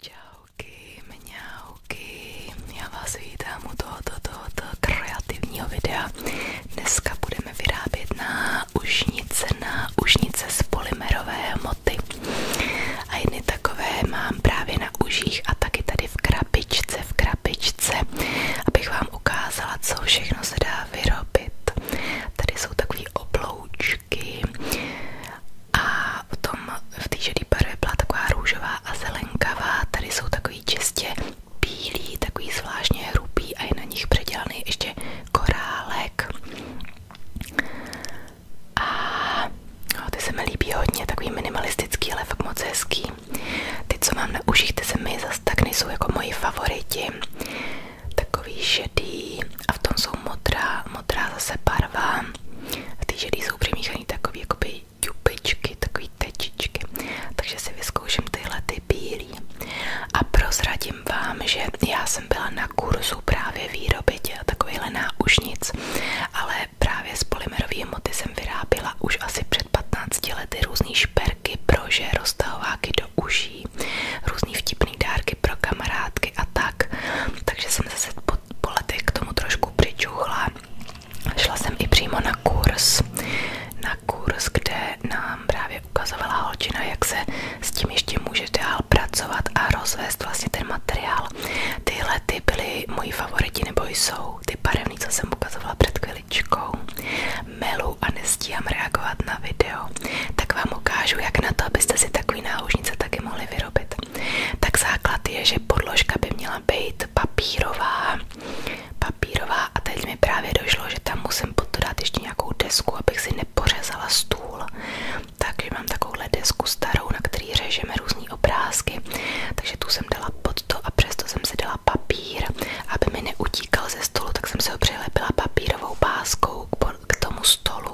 Čauky, mňauky, já vás vítám u tohoto, tohoto kreativního videa. Dneska budeme vyrábět na ušnice, na ušnice z polymerové hmoty. A jedny takové mám právě na uších a taky tady v krabičce, v krabičce, abych vám ukázala, co všechno se dá vyrobit. Tady jsou takový obloučky hrušky a potom v té žádý barvě byla taková růžová a zelenkavá, tady jsou takový čistě bílý, takový zvláštně hrubý a je na nich předělaný ještě korálek a no, ty se mi líbí hodně, takový minimalistický, ale fakt moc Ty, co mám na uších, ty se mi zase tak jako moji favoriti. Takový šedý a v tom jsou modrá, modrá zase barva tam. A ty ženy jsou přemíchané takové jakoby ťupičky, takové tečičky. Takže si vyzkouším tyhle ty bílý. A prozradím vám, že já jsem byla na kurzu právě výroby a takovýhle náušnic, ale právě z polymerové moty jsem vyráběla už asi před 15 lety různé šperky, brože, roztahováky do uší, různý vtipný dárky pro kamarádky a tak. Takže jsem zase po po letech tomu trošku přičuchla. Šla jsem i přímo na kurz, na kurz, kde nám právě ukazovala holčina, jak se s tím ještě může dál pracovat a rozvést vlastně ten materiál. Tyhle ty byly moji favoriti, nebo jsou ty barevný, co jsem ukazovala před chviličkou. Melu a reagovat na video, tak vám ukážu, jak na to, abyste si takový náušnice taky mohli vyrobit. Tak základ je, že podložka by měla být papírová. Papírová a teď mi právě došlo, že tam musím pod to dát ještě nějakou desku, abych si nepořezala stůl. Takže mám takovouhle desku starou, na který řežeme různé obrázky. Takže tu jsem dala pod to a přesto jsem si dala papír, aby mi neutíkal ze stolu, tak jsem se ho přilepila papírovou páskou k k tomu stolu.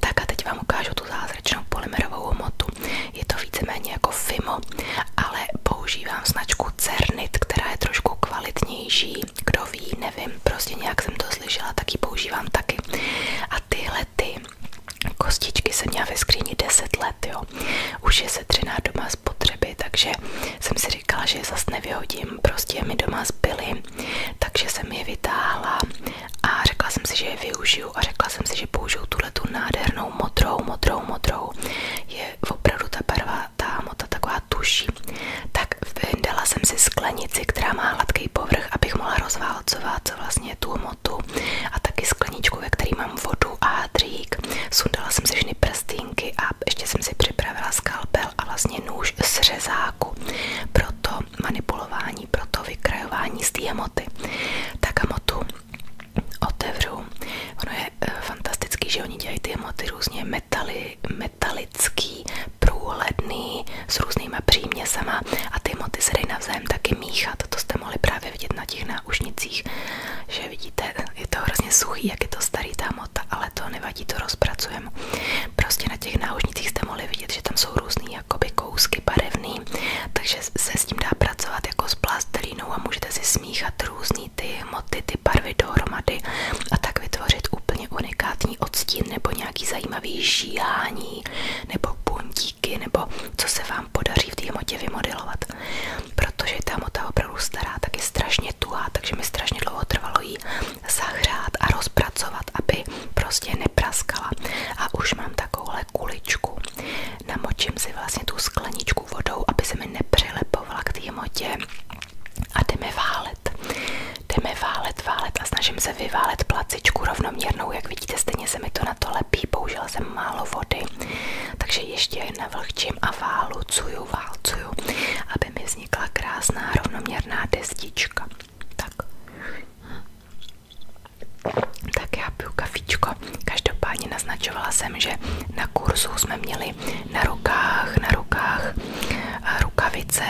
Tak a teď vám ukážu tu zázračnou polymerovou hmotu. Je to víceméně jako Fimo, ale používám značku Cernit, která je trošku kvalitnější. Kdo nevím, prostě nějak jsem to slyšela, tak používám taky. A tyhle ty kostičky jsem měla ve skříni let, jo. Už je setřená doma z potřeby, takže jsem si říkala, že zase nevyhodím. Prostě mi doma zbyly takže jsem je vytáhla a řekla jsem si, že je využiju a řekla jsem si, že použiju tuhle tu nádhernou modrou, modrou, modrou. Je opravdu ta barva, ta mota taková tuší. Tak vyndala jsem si sklenici, která má hladký povrch, abych mohla rozválcovat co vlastně tu motu a taky skleničku, ve který mám vodu a hadřík. Sundala jsem si všechny prstínky a ještě jsem si připravila skalpel a vlastně nůž s řezá žláku, proto manipulování, proto vykrajování z té moty, Tak hemotu otevřu. Ono je eh, fantastický, že oni dělají ty hemoty různě metali, metalický, průhledný, s různýma příměsama a ty moty se dají navzájem taky míchat. To jste mohli právě vidět na těch náušnicích, že vidíte, je to hrozně suchý, jak je to starý ta mota, ale to nevadí, to rozpracujeme. Prostě na těch náušnicích jste mohli vidět, že tam jsou různé jakoby kousky barevný, takže se s tím dá pracovat jako s plastelinou a můžete si smíchat různý ty hmoty, ty barvy dohromady a tak vytvořit úplně unikátní odstín nebo nějaký zajímavý žíhání nebo puntíky nebo co se vám podaří v té hmotě vymodelovat. Protože ta hmota opravdu stará, tak je strašně tuhá, takže mi strašně dlouho trvalo ji zahřát a rozpracovat, aby prostě nepraskala. A už mám takovouhle kuličku. Namočím si vlastně tu skleničku vodou, aby se mi nepřilepovala k té hmotě. A jdeme válet. Jdeme válet, válet a snažím se vyválet placičku rovnoměrnou. Jak vidíte, stejně se mi to na to lepí. Použila jsem málo vody, takže ještě navlhčím a válucuju, válcuju, aby mi vznikla krásná rovnoměrná destička. Tak. Tak já piju kafičko. Každopádně naznačovala jsem, že na kurzu jsme měli na rukách, na rukách eh, rukavice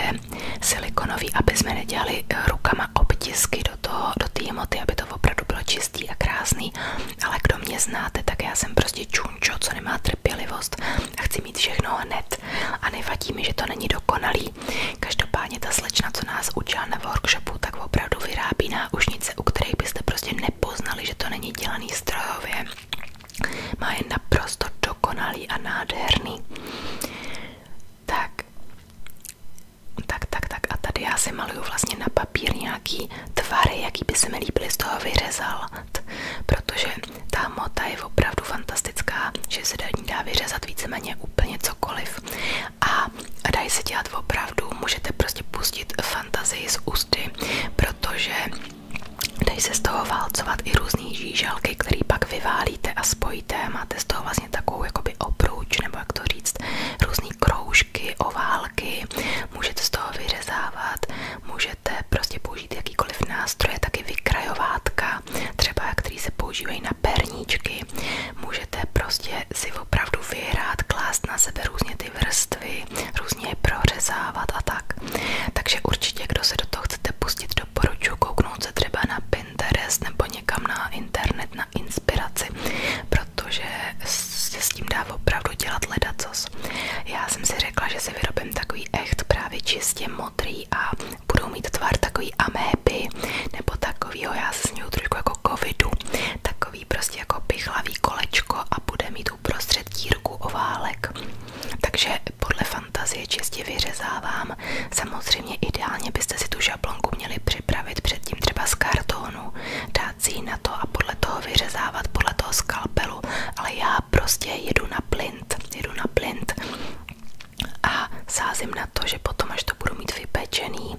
silikonový, aby jsme nedělali eh, rukama obtisky do toho, do té moty, aby to opravdu bylo čistý a krásný. Ale kdo mě znáte, tak já jsem prostě čunčo, co nemá trpělivost a chci mít všechno hned. A nevadí mi, že to není dokonalý, neví. Každopádně ta slečna, co nás učila na workshopu, tak opravdu vyrábí náušnice, u kterých byste prostě nepoznali, že to není dělaný strojově. Má je naprosto dokonalý a nádherný. Tak, tak, tak, tak. A tady já si maluju vlastně na papír nějaký tvary, jaký by se mi líbily z toho vyřezal, protože ta mota je opravdu fantastická, že se dá vyřezat víceméně úplně cokoliv cokoliv a dají se dělat opravdu, můžete prostě pustit fantazii z ústy, protože dají se z toho válcovat i různý žížalky, který pak vyválíte a spojíte, máte z toho vlastně takovou jakoby obruč, nebo jak to říct, různý kroužky, oválky, můžete z toho vyřezávat, můžete prostě použít jakýkoliv nástroje, taky vykrajovátka, třeba který se používají na perníčky, můžete prostě si opravdu vyhrát, klást na sebe různě ty vrstvy, různě je prořezávat a tak. Takže určitě, kdo se do toho chcete pustit, doporučuji kouknout se třeba na Pinterest nebo někam na internet, na inspiraci, protože se s tím dá opravdu dělat ledacos. Já jsem si řekla, že si vyrobím takový echt právě čistě modrý zdraví a budou mít tvar takový améby nebo takovýho, já se směju trošku jako covidu, takový prostě jako pichlavý kolečko a bude mít uprostřed dírku oválek. Takže podle fantazie čistě vyřezávám. Samozřejmě ideálně byste si tu žablonku měli připravit předtím třeba z kartonu, dát si ji na to a podle toho vyřezávat, podle toho skalpelu, ale já prostě jedu na plint, jedu na plint a sázím na to, že potom, až to budu mít vypečený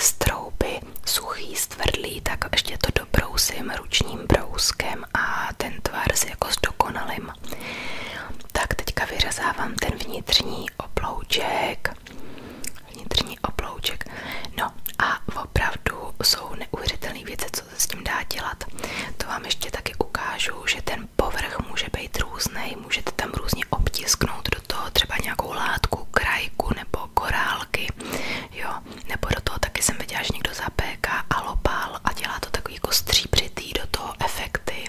strouby, suchý, stvrdlý, tak ještě to dobrousím ručním brouskem a ten tvar si jako zdokonalím. Tak teďka vyřezávám ten vnitřní oblouček. Vnitřní oblouček. No a opravdu jsou neuvěřitelné věci, co se s tím dá dělat. To vám ještě taky ukážu, že ten ten povrch může být různý, můžete tam různě obtisknout do toho třeba nějakou látku, krajku nebo korálky, jo, nebo do toho taky jsem viděla, že někdo zapéká alopál a dělá to takový jako stříbřitý do toho efekty,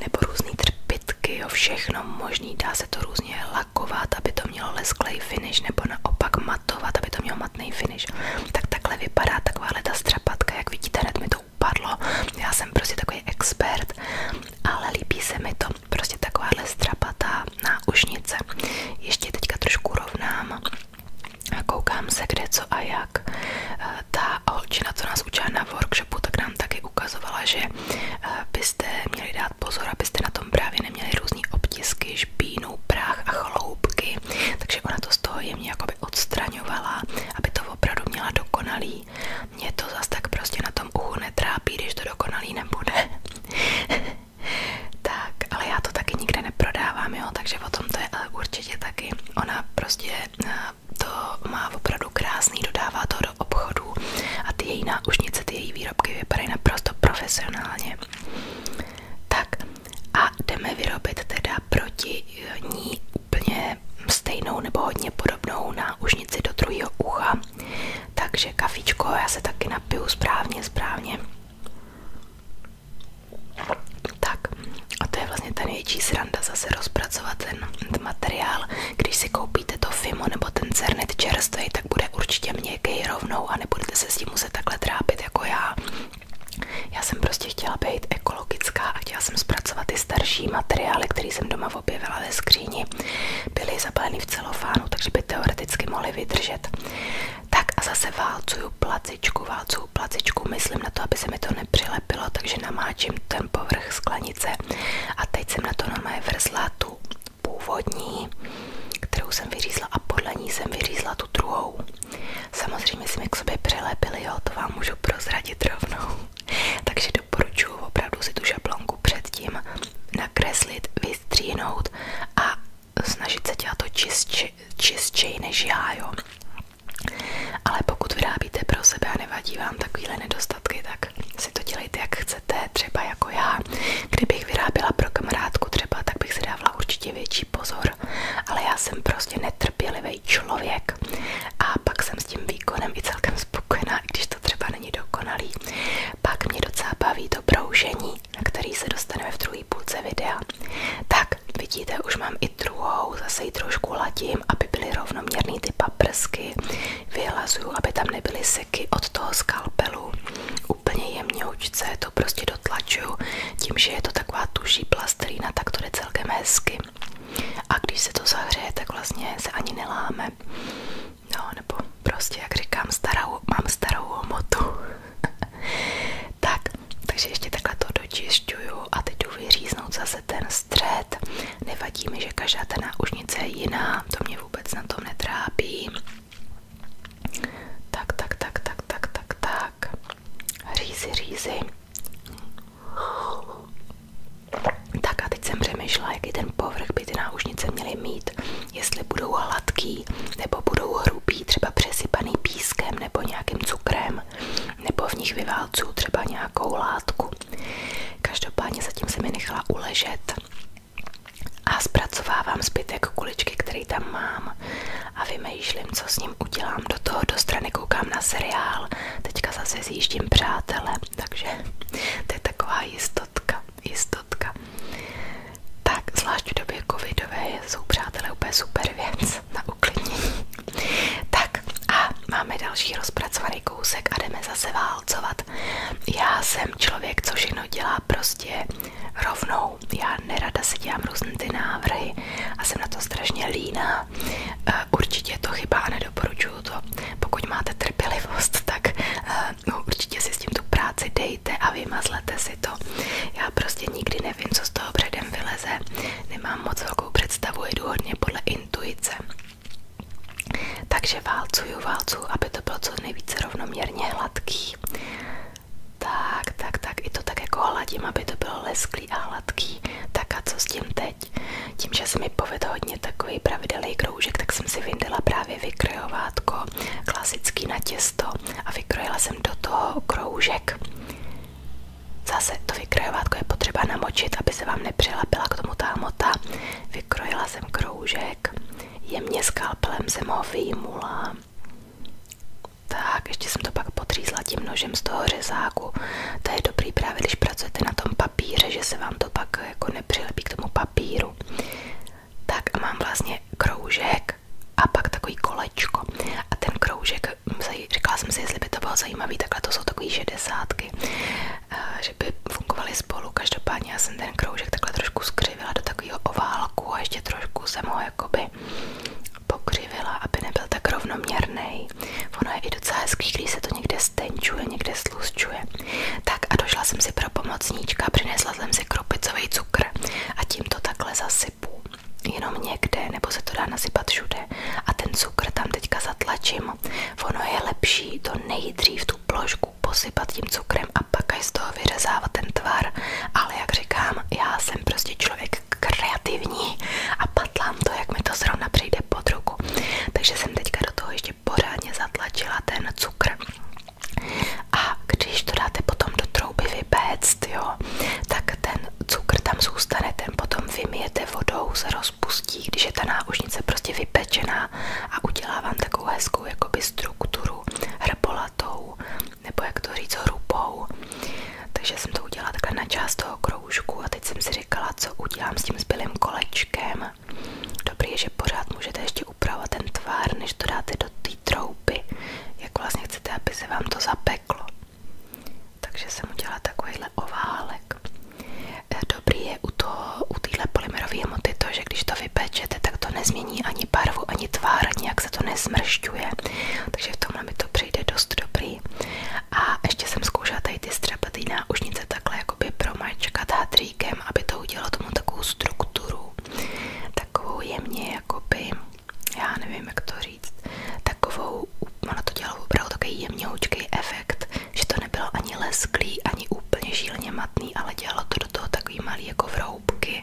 nebo různý trpitky, jo, všechno možný, dá se to různě lakovat, aby to mělo lesklej finish, nebo naopak matovat, aby to mělo matný finish, tak takhle vypadá takováhle ta strapatka, jak vidíte, hned mi to upadlo. Já jsem prostě takový expert, ale líbí se mi to. Prostě takováhle strapatá náušnice. Ještě teďka trošku rovnám a koukám se kde, co a jak. Eh, ta holčina, co nás na workshopu, tak nám taky ukazovala, že eh, byste měli dát pozor, abyste na tom právě neměli různý obtisky, špínu, prach a chloubky. Takže ona to z toho jakoby odstraňovala, aby to opravdu měla dokonalý. Mě to zas tak prostě na tom uchu netrápí, když to dokonalý nebude. tak, ale já to taky nikde neprodávám, jo, takže o tom určitě taky. Ona prostě eh, to má opravdu krásný, dodává to do obchodů a ty její náušnice, ty její výrobky vypadají naprosto profesionálně. Tak a jdeme vyrobit teda proti eh, ní úplně stejnou nebo hodně podobnou na náušnici do druhého ucha. Takže kafičko, já se taky napiju správně, správně. Tak a to je vlastně ta největší sranda zase rozpracovat ten, materiál. Když si koupíte to Fimo nebo ten Cernet čerstvý, tak bude určitě měkký rovnou a nebudete se s tím muset takhle trápit jako já. Já jsem prostě chtěla být ekologická a chtěla jsem zpracovat ty starší materiály, které jsem doma objevila ve skříni, byly zapaleny v celofánu, takže by teoreticky mohly vydržet. Tak a zase válcuju placičku, válcuju placičku, myslím na to, aby se mi to nepřilepilo, takže namáčím ten povrch sklenice a teď jsem na to normálně vrzla tu původní, kterou jsem vyřízla a podle ní jsem vyřízla tu druhou. Samozřejmě jsme k sobě přilepili, jo, to vám můžu prozradit rovnou. Takže doporučuji opravdu si tu šablonku předtím nakreslit, vystříhnout a snažit se dělat to čistči, čistčej než já, jo. Ale pokud vyrábíte pro sebe a nevadí vám takovýhle nedostatky, tak si to dělejte jak chcete, třeba jako já. Kdybych vyráběla pro kamarádku třeba, tak bych si dávala určitě větší pozor, ale já jsem prostě net trpělivý člověk a pak jsem s tím výkonem i celkem spokojená, i když to třeba není dokonalý. Pak mě docela baví to broužení, na který se dostaneme v druhé půlce videa. Tak, vidíte, už mám i druhou, zase ji trošku ladím, aby byly rovnoměrný ty paprsky. Vyhlazuju, aby tam nebyly seky od toho skalpelu. Úplně jemňoučce to prostě dotlačuju tím, že je to taková tuší plastelína, tak to jde celkem hezky. A když se to zahřeje, tak vlastně se ani neláme. No, nebo prostě, jak říkám, starou, mám starou homotu. tak, takže ještě takhle to dočišťuju a teď jdu vyříznout zase ten střed. Nevadí mi, že každá ta náušnice je jiná, to mě vůbec na tom netrápí. Tak, tak, tak, tak, tak, tak, tak. Řízy, řízy. Tak jsem přemýšlela, jaký ten povrch by náušnice měly mít, jestli budou hladký, nebo budou hrubý, třeba přesypaný pískem nebo nějakým cukrem, nebo v nich vyválcu třeba nějakou látku. Každopádně zatím se mi nechala uležet a zpracovávám zbytek kuličky, který tam mám a vymýšlím, co s ním udělám. Do toho do strany koukám na seriál, teďka zase zjíždím přátelé takže to je taková jistotka, jistotka. Tak, zvlášť v době covidové jsou přátelé úplně super věc na uklidnění. Tak a máme další rozpracovaný kousek a jdeme zase válcovat. Já jsem člověk, co všechno dělá prostě rovnou. Já nerada si dělám různé ty návrhy a jsem na to strašně líná. Eh, určitě je to chyba a nedoporučuji doporučuju to. Pokud máte trpělivost, tak uh, určitě si s tím tu práci dejte a vymazlete si to. Já prostě nikdy nevím, co z toho předem vyleze. Nemám moc velkou představu, jdu hodně podle intuice. Takže válcuju, válcuju, aby to bylo co nejvíce rovnoměrně hladký. Tak, tak, tak, i to tak jako hladím, aby to bylo lesklý a hladký. Tak a co s tím teď? teď. Tím, že se mi povedl hodně takový pravidelný kroužek, tak jsem si vyndala právě vykrojovátko klasický na těsto a vykrojila jsem do toho kroužek. Zase to vykrojovátko je potřeba namočit, aby se vám nepřilepila k tomu ta hmota. Vykrojila jsem kroužek, jemně skalpelem jsem ho vyjmula. Tak, ještě jsem to pak potřízla tím nožem z toho řezáku. To je dobrý právě, když pracujete na tom papíře, že se vám to pak jako nepřilepí k tomu papíru. Tak a mám vlastně kroužek a pak takový kolečko. A ten kroužek, hm, říkala jsem si, jestli by to bylo zajímavý, takhle to jsou takový šedesátky, eh, že by fungovaly spolu. Každopádně já jsem ten kroužek takhle trošku skřivila do takového oválku a ještě trošku jsem ho jakoby pokřivila, aby nebyl tak rovnoměrný. Ono je i docela hezký, když se to někde stenčuje, někde slusčuje. Tak a došla jsem si pro pomocníčka, přinesla jsem si krupicový cukr a tím to takhle zasypu. Jenom někde, nebo se to dá nasypat všude. A ten cukr tam teďka zatlačím. Ono je lepší to nejdřív tu plošku posypat tím cukrem a pak až z toho vyřezávat ten tvar. Ale jak říkám, já jsem prostě člověk kreativní a patlám to, jak mi to zrovna přijde pod ruku. Takže jsem teďka do toho ještě pořádně zatlačila ten cukr. A když to dáte potom do trouby vypéct, jo, tak ten cukr tam zůstane, ten potom vymijete vodou, se rozpustí, když je ta náušnice prostě vypečená a udělá vám takovou hezkou jakoby strukturu hrpolatou, nebo jak to říct, hrubou. Takže jsem to udělala takhle na část toho kroužku a teď jsem si si říkala, co udělám s tím zbylým kolečkem. Dobrý je, že pořád můžete ještě upravovat ten tvar, než to dáte do té trouby, jak vlastně chcete, aby se vám to zapeklo. Takže jsem udělala takovýhle oválek. Eh, dobrý je u toho, u téhle polymerové hmoty to, že když to vypečete, tak to nezmění ani barvu, ani tvar, nějak se to nesmršťuje. Takže v tomhle mi to přijde dost dobrý dělají. A ještě jsem zkoušela tady ty střepatý náušnice takhle jakoby promačkat hadříkem, aby to udělalo tomu takovou strukturu. Takovou jemně jakoby, já nevím jak to říct, takovou, ono to dělalo opravdu takový jemněhoučký efekt, že to nebylo ani lesklý, ani úplně šíleně matný, ale dělalo to do toho takový malý jako vroubky.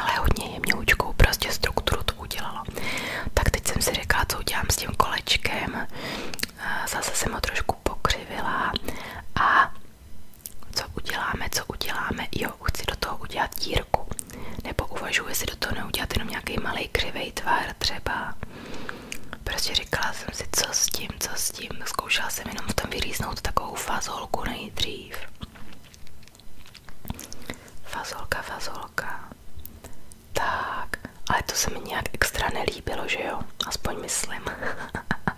Ale hodně jemňoučkou prostě strukturu to udělalo nedělalo. Tak teď jsem si řekla, co udělám s tím kolečkem. Zase jsem ho trošku pokřivila a co uděláme, co uděláme, jo, chci do toho udělat dírku. Nebo uvažuji si do toho neudělat jenom nějaký malý křivej tvar třeba. Prostě říkala jsem si, co s tím, co s tím. Zkoušela jsem jenom v tom vyrýznout takovou fazolku nejdřív. Fazolka, fazolka. Tak, ale to se mi nějak extra nelíbilo, že jo? Aspoň myslím.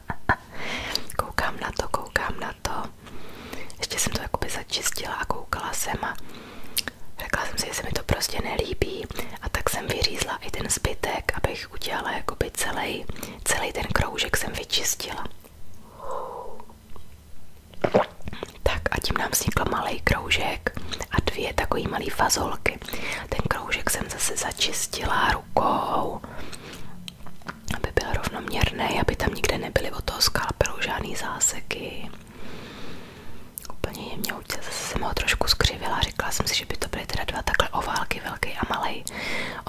koukám na to, koukám na to. Ještě jsem to jakoby začistila a koukala jsem a řekla jsem si, že se mi to prostě nelíbí. A tak jsem vyřízla i ten zbytek, abych udělala jakoby celý, celý ten kroužek jsem vyčistila. Tak a tím nám vznikl malý kroužek kroužek a dvě takové malé fazolky. Ten kroužek jsem zase začistila rukou, aby byl rovnoměrný, aby tam nikde nebyly od toho skápelu žádný záseky. Úplně jemně udělala, zase jsem ho trošku skřivila, řekla jsem si, že by to byly teda dva takhle oválky, velký a malý.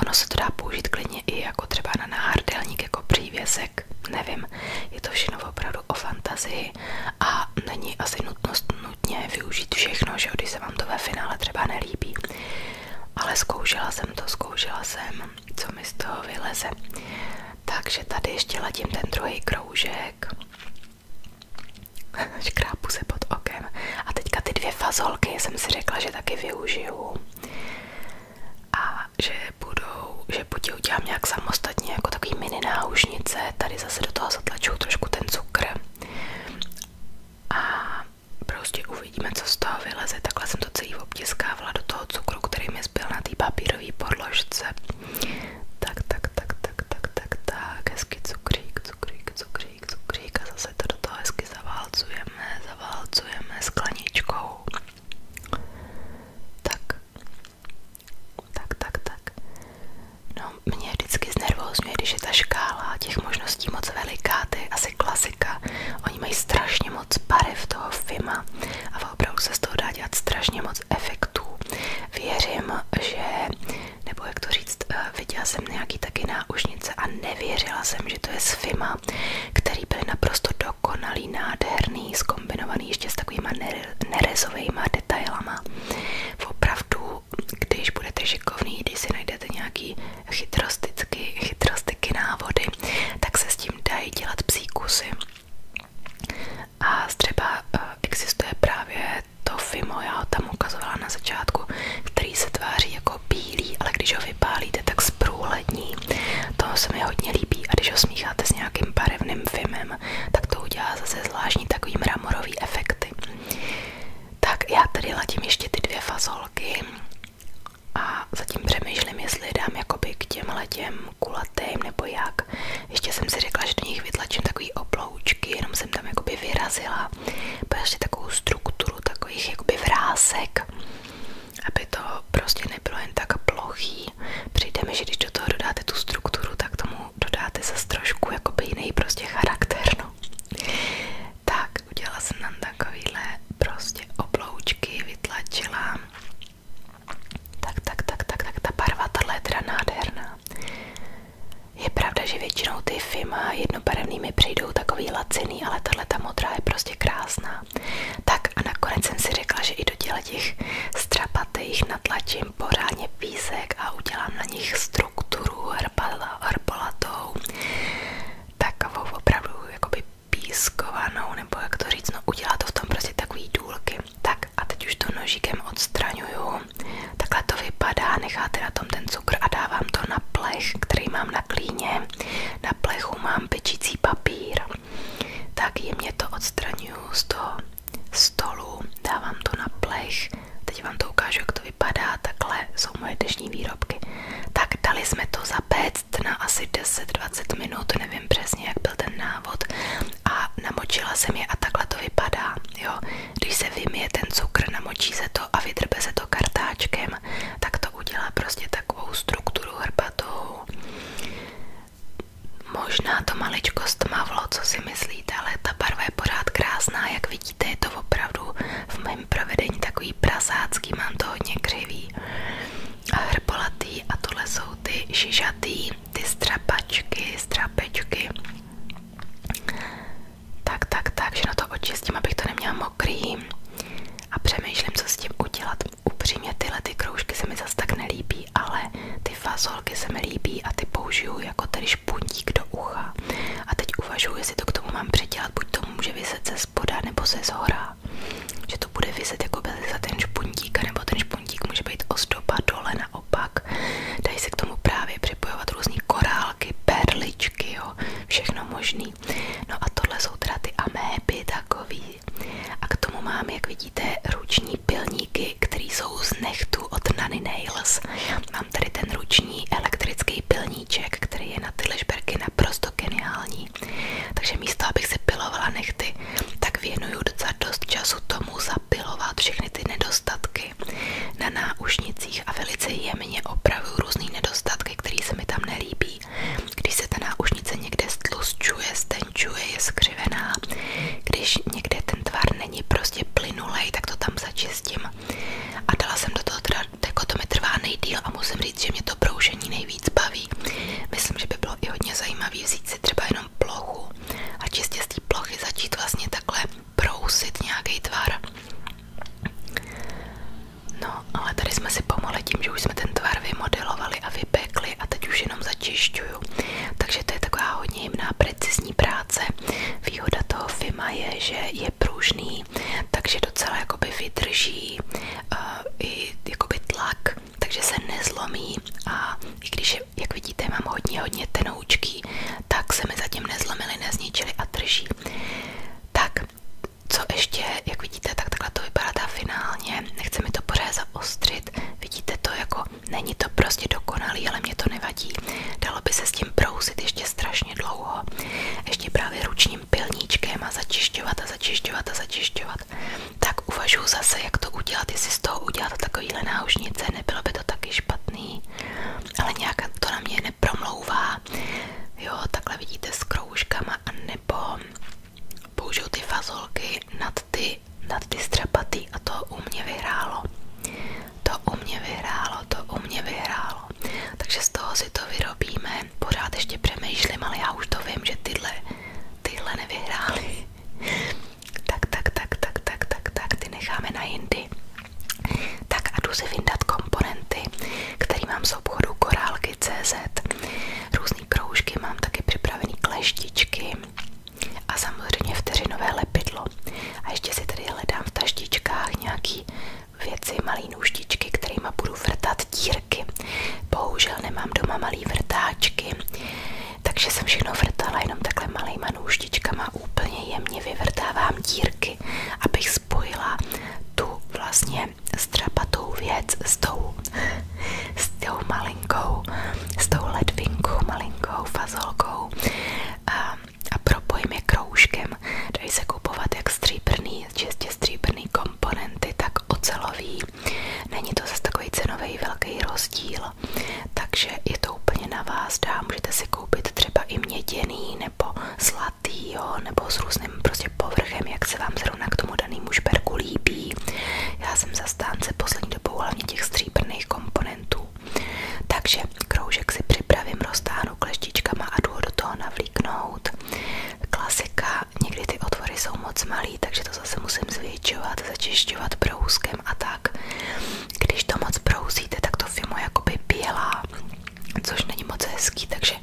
Ono se to dá použít klidně i jako třeba na náhrdelník, jako přívěsek, nevím, je to všechno opravdu o fantazii a není asi nutnost nutně využít všechno, že když se vám to ve finále třeba nelíbí. Ale zkoušela jsem to, zkoušela jsem, co mi z toho vyleze. Takže tady ještě ladím ten druhý kroužek. Škrápu se pod okem. A teďka ty dvě fazolky jsem si řekla, že taky využiju. A že budou, že buď udělám nějak samostatně, jako takový mini náušnice, tady zase do toho zatlačuju trošku ten cukr a prostě uvidíme, co z toho vyleze. Takhle jsem to celý obtiskávala do toho cukru, který mi zbyl na té papírové podložce. Tak, tak, tak, tak, tak, tak, tak, hezky cukrík, cukrík, cukrík, cukrík a zase to do toho hezky zaválcujeme, zaválcujeme skleničkou. Tak. Tak, tak, tak. No, mě vždycky znervózňuje, když je ta škála těch možností moc veliká, to je asi klasika. Oni mají strašně moc barev toho filma a opravdu se z toho dá dělat strašně moc efektů. Věřím, že, nebo jak to říct, eh, viděla jsem nějaký taky náušnice a nevěřila jsem, že to je z filma, který byly naprosto dokonalý, nádherný, zkombinovaný ještě s takovýma nerezovými detailama opravdu, když budete šikovný, když si najdete nějaký chytrosticky, chytrostiky návody, tak se s tím dají dělat psí kusy. A třeba eh, existuje právě to Fimo, já tam ukazovala na začátku, který se tváří jako bílý, ale když ho vypálíte, tak zprůhlední. To se mi hodně líbí a když ho smícháte s nějakým barevným Fimem, kolem, tak to udělá zase zvláštní takový mramorový efekty. Tak já tady ladím ještě ty dvě fazolky a zatím přemýšlím, jestli dám jakoby k těmhle těm kulatým nebo jak. Ještě jsem si řekla, že do nich vytlačím takový oploučky, jenom jsem tam jakoby vyrazila. Ještě takovou strukturu takových jakoby vrásek, aby to prostě nebylo jen tak plochý. Přijde že když do toho dodáte tu strukturu, tak tomu dodáte zase trošku jakoby jiný prostě charakter, no. Tak, udělala jsem tam takovýhle prostě obloučky, vytlačila. Tak, tak, tak, tak, tak, ta barva, tahle je teda nádherná. Je pravda, že většinou ty FIMA jednobarevný mi přijdou takový laciný, ale tahle ta modrá je prostě krásná. Tak a nakonec jsem si řekla, že i do těch strapatých natlačím pořádně písek a udělám na nich strukturu herbala, herbalatou, takovou opravdu jakoby pískovanou, nebo jak to říct, no udělá to v tom prostě takový důlky. Tak a teď už to nožíkem odstraňuju, takhle to vypadá, necháte na tom ten cukr a dávám to na plech, který mám na klíně, na plechu mám pečící papír, tak jemně to odstraňuju z toho stolu, dávám to na plech, teď vám to ukážu, jak to vypadá, takhle jsou moje dnešní výrobky. Tak dali jsme to zapéct na asi 10-20 minut, nevím přesně, jak byl ten návod a namočila jsem je a takhle to vypadá, jo. Když se vymije ten cukr, namočí se to a vydrbe se to kartáčkem, tak to udělá prostě takovou strukturu hrbatou. Možná to maličko stmavlo, co si myslíte, ale ta barva je pořád krásná, jak vidíte, je to opravdu v mém provedení takový prasácký, mám to hodně křivý a hrbolatý a tohle jsou ty šižatý, ty strapačky, strapečky. Tak, tak, tak, že na to očistím, abych to neměla mokrý a přemýšlím, co s tím udělat. Upřímně tyhle ty kroužky se mi zase tak nelíbí ale ty fazolky se mi líbí a ty použiju jako tedy špuntík do ucha. A teď uvažuji, jestli to k tomu mám předělat, buď to může vyset ze spoda nebo ze zhora. Že to bude vyset jako za ten špuntík, nebo ten špuntík může být ozdoba dole naopak. Dají se k tomu právě připojovat různé korálky, perličky, jo, všechno možný. No a tohle jsou teda ty améby takový. A k tomu mám, jak vidíte, ruční ruční pilníky, které jsou z nechtu od Nanny Nails. Mám tady ten ruční elektrický pilníček, který je na ty lišberky naprosto geniální. Takže místo, abych si pilovala nechty, tak věnuju docela dost času tomu zapilovat všechny ty nedostatky na náušnicích a velice jemně opravuju různé nedostatky, které se mi tam nelíbí. Když se ta náušnice někde stlusčuje, tenčuje, je skřivená. Když někde ten tvar není prostě plynulej, tak to tam začistím. A dala jsem do toho teda, jako to mi trvá nejdýl a musím říct, že mě to broušení nejvíc baví. Myslím, že by bylo i hodně zajímavý vzít si třeba jenom plochu a čistě z té plochy začít vlastně takhle brousit nějaký tvar. No, ale tady jsme si pomohli tím, že už jsme ten tvar vymodelovali a vypekli a teď už jenom začišťuju. Takže to je taková hodně jemná, precizní vlastní práce. Výhoda toho FIMA je, že je pružný, takže docela jakoby vydrží uh, i jakoby tlak, takže se nezlomí a i když, jak vidíte, mám hodně, hodně tenoučky, tak se mi zatím nezlomily, nezničily a drží. Tak, co ještě, jak vidíte, tak takhle to vypadá ta finálně, nechce mi to pořád zaostřit, vidíte to jako Není to prostě dokonalý, ale mě to nevadí. Dalo by se s tím brousit ještě strašně dlouho. Ještě právě ručním pilníčkem a začišťovat a začišťovat a začišťovat. Tak uvažuji zase, jak to udělat, jestli z toho udělat takovýhle náušnice, nebylo by to taky špatný. Ale nějak to na mě nepromlouvá. Jo, takhle vidíte s kroužkama, anebo použiju ty fazolky nad ty ty, nad ty střepatý a to u mě vyhrálo. To u mě vyhrálo, to u mě vyhrálo. Takže z toho si to vyrobíme. Pořád ještě přemýšlím, ale já už to vím, že tyhle, tyhle nevyhrály. tak, tak, tak, tak, tak, tak, tak, ty necháme na jindy. Tak a jdu si vyndat komponenty, který mám z obchodu korálky.cz. Různý kroužky, mám taky připravený kleštičky, a samozřejmě vteřinové lepidlo. A ještě si tady hledám v taštičkách nějaký věci, malý nůžtičky, kterými budu vrtat dírky. Bohužel nemám doma malý vrtáčky, takže jsem všechno vrtala jenom takhle malýma nůžtičkama. Úplně jemně vyvrtávám dírky, abych spojila tu vlastně strapatou věc s tou, s tou malý malinkou, s tou ledvinkou, malinkou fazolkou a, a propojím je kroužkem. Dají se kupovat jak stříbrný, čistě stříbrný komponenty, tak ocelový. Není to zase takový cenový velký rozdíl, takže je to úplně na vás dá. Můžete si koupit třeba i měděný nebo zlatý, jo, nebo s různým prostě povrchem, jak se vám zrovna k tomu danému šperku líbí. Já jsem zastánce poslední dobou hlavně těch stříbrných komponentů, takže kroužek si připravím, roztáhnu kleštičkama a jdu toho navlíknout. Klasika, někdy ty otvory jsou moc malý, takže to zase musím zvětšovat, začišťovat brouskem a tak. Když to moc brousíte, tak to fimo jakoby bělá, což není moc hezký, takže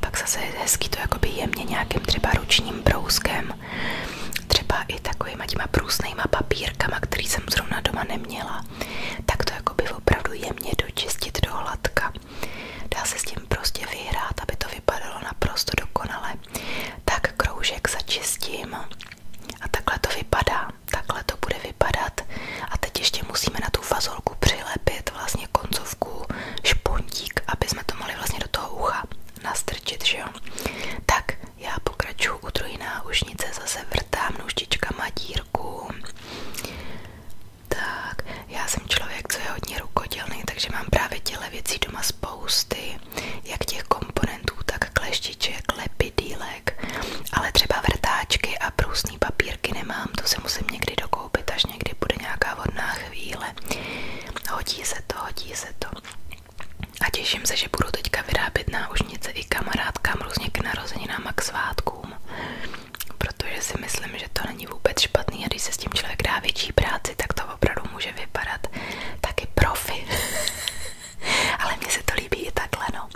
pak zase je hezký to jakoby jemně nějakým třeba ručním brouskem třeba i takovýma těma průsnejma papírkama, který jsem zrovna doma neměla, tak to jakoby opravdu jemně dočistit do Dá se s tím prostě vyhrát, aby to vypadalo naprosto dokonale. Tak kroužek začistím a takhle to vypadá, takhle to bude vypadat a teď ještě musíme na tu fazolku přilepit vlastně koncovku špontík, aby jsme to mohli vlastně do toho ucha nastrčit, že Tak já pokračuju u druhé náušnice, zase vrtám nůžtičkama dírku. Tak, já jsem člověk, co je hodně rukodělný, takže mám právě těle věcí doma spousty, jak těch komponentů, tak kleštiček, lepidílek, ale třeba vrtáčky a průsný papírky nemám, to se musím někdy dokoupit, až někdy bude nějaká vodná chvíle. Hodí se to, hodí se to. A těším se, že budu teďka vyrábět náušnice i kamarádkám různě k narozeninám a k svátkům. Protože si myslím, že to není vůbec špatný a když se s tím člověk dá větší práci, tak to opravdu může vypadat taky profi. Ale mně se to líbí i takhle, no.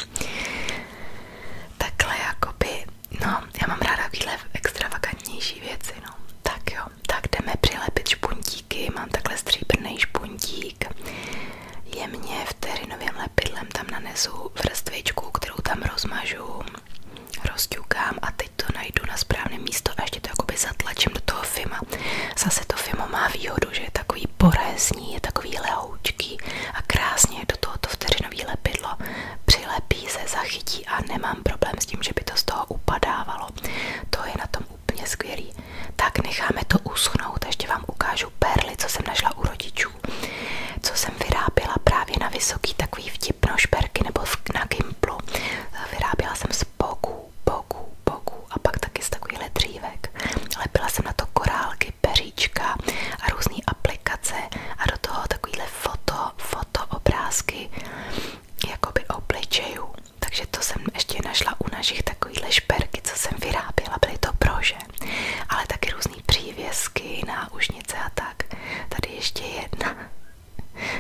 Takhle jakoby, no, já mám ráda takovýhle extravagantnější věci, no. Tak jo, tak jdeme přilepit špuntík puntíky, mám takhle stříbrný špuntík. Jemně vteřinovým lepidlem tam nanesu vrstvičku, kterou tam rozmažu, rozťukám a teď to najdu na správné místo a ještě to jakoby zatlačím do toho fima. Zase to fimo má výhodu, že je takový porezní, je takový lehoučký a krásně do toho tohoto vteřinový lepidlo přilepí se, zachytí a nemám problém s tím, že by to z toho upadávalo. To je na tom úplně skvělý. Tak necháme to uschnout, ještě vám ukážu perly, co jsem našla u rodičů, co jsem vyrábila právě na vysoký takový vtipno šperky nebo na Gimplu. Vyrábila jsem z boků, boků, boků a pak taky z takovýhle dřívek. Lepila jsem na to korálky, peříčka a různé aplikace a do toho takovýhle foto, foto obrázky jakoby obličejů takže to jsem ještě našla u našich takovýchhle šperky, co jsem vyráběla, byly to prože, ale taky různé přívěsky, náušnice a tak. Tady ještě jedna.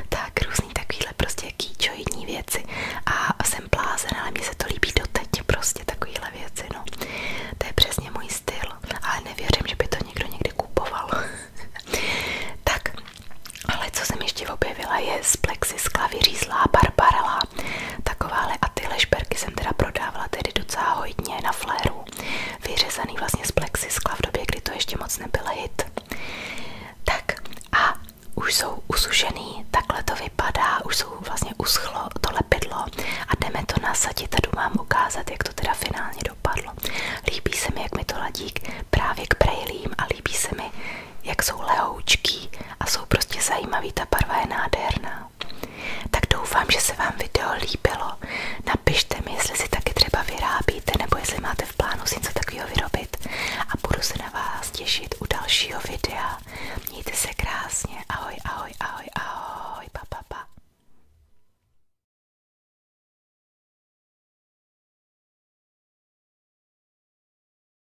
Tak, různý takovýhle prostě kýčojní věci a jsem blázen, ale mně se to líbí doteď, prostě takovýhle věci, no. To je přesně můj styl, ale nevěřím, že by to někdo někdy kupoval. tak, ale co jsem ještě objevila je z plexiskla vyřízlá barbarela dělala takováhle a tyhle šperky jsem teda prodávala tedy docela hodně na fléru, vyřezaný vlastně z plexiskla v době, kdy to ještě moc nebyl hit. Tak a už jsou usušený, takhle to vypadá, už jsou vlastně uschlo to lepidlo a jdeme to nasadit a jdu vám ukázat, jak to teda finálně dopadlo. Líbí se mi, jak mi to ladík právě k brejlím a líbí se mi, jak jsou lehoučký a jsou prostě zajímavý, ta barva je nádherná. Tak doufám, že se vám video líbilo. Napište mi, jestli si taky třeba vyrábíte, nebo jestli máte v plánu si něco takového vyrobit. A budu se na vás těšit u dalšího videa. Mějte se krásně. Ahoj, ahoj, ahoj, ahoj. Pa, pa,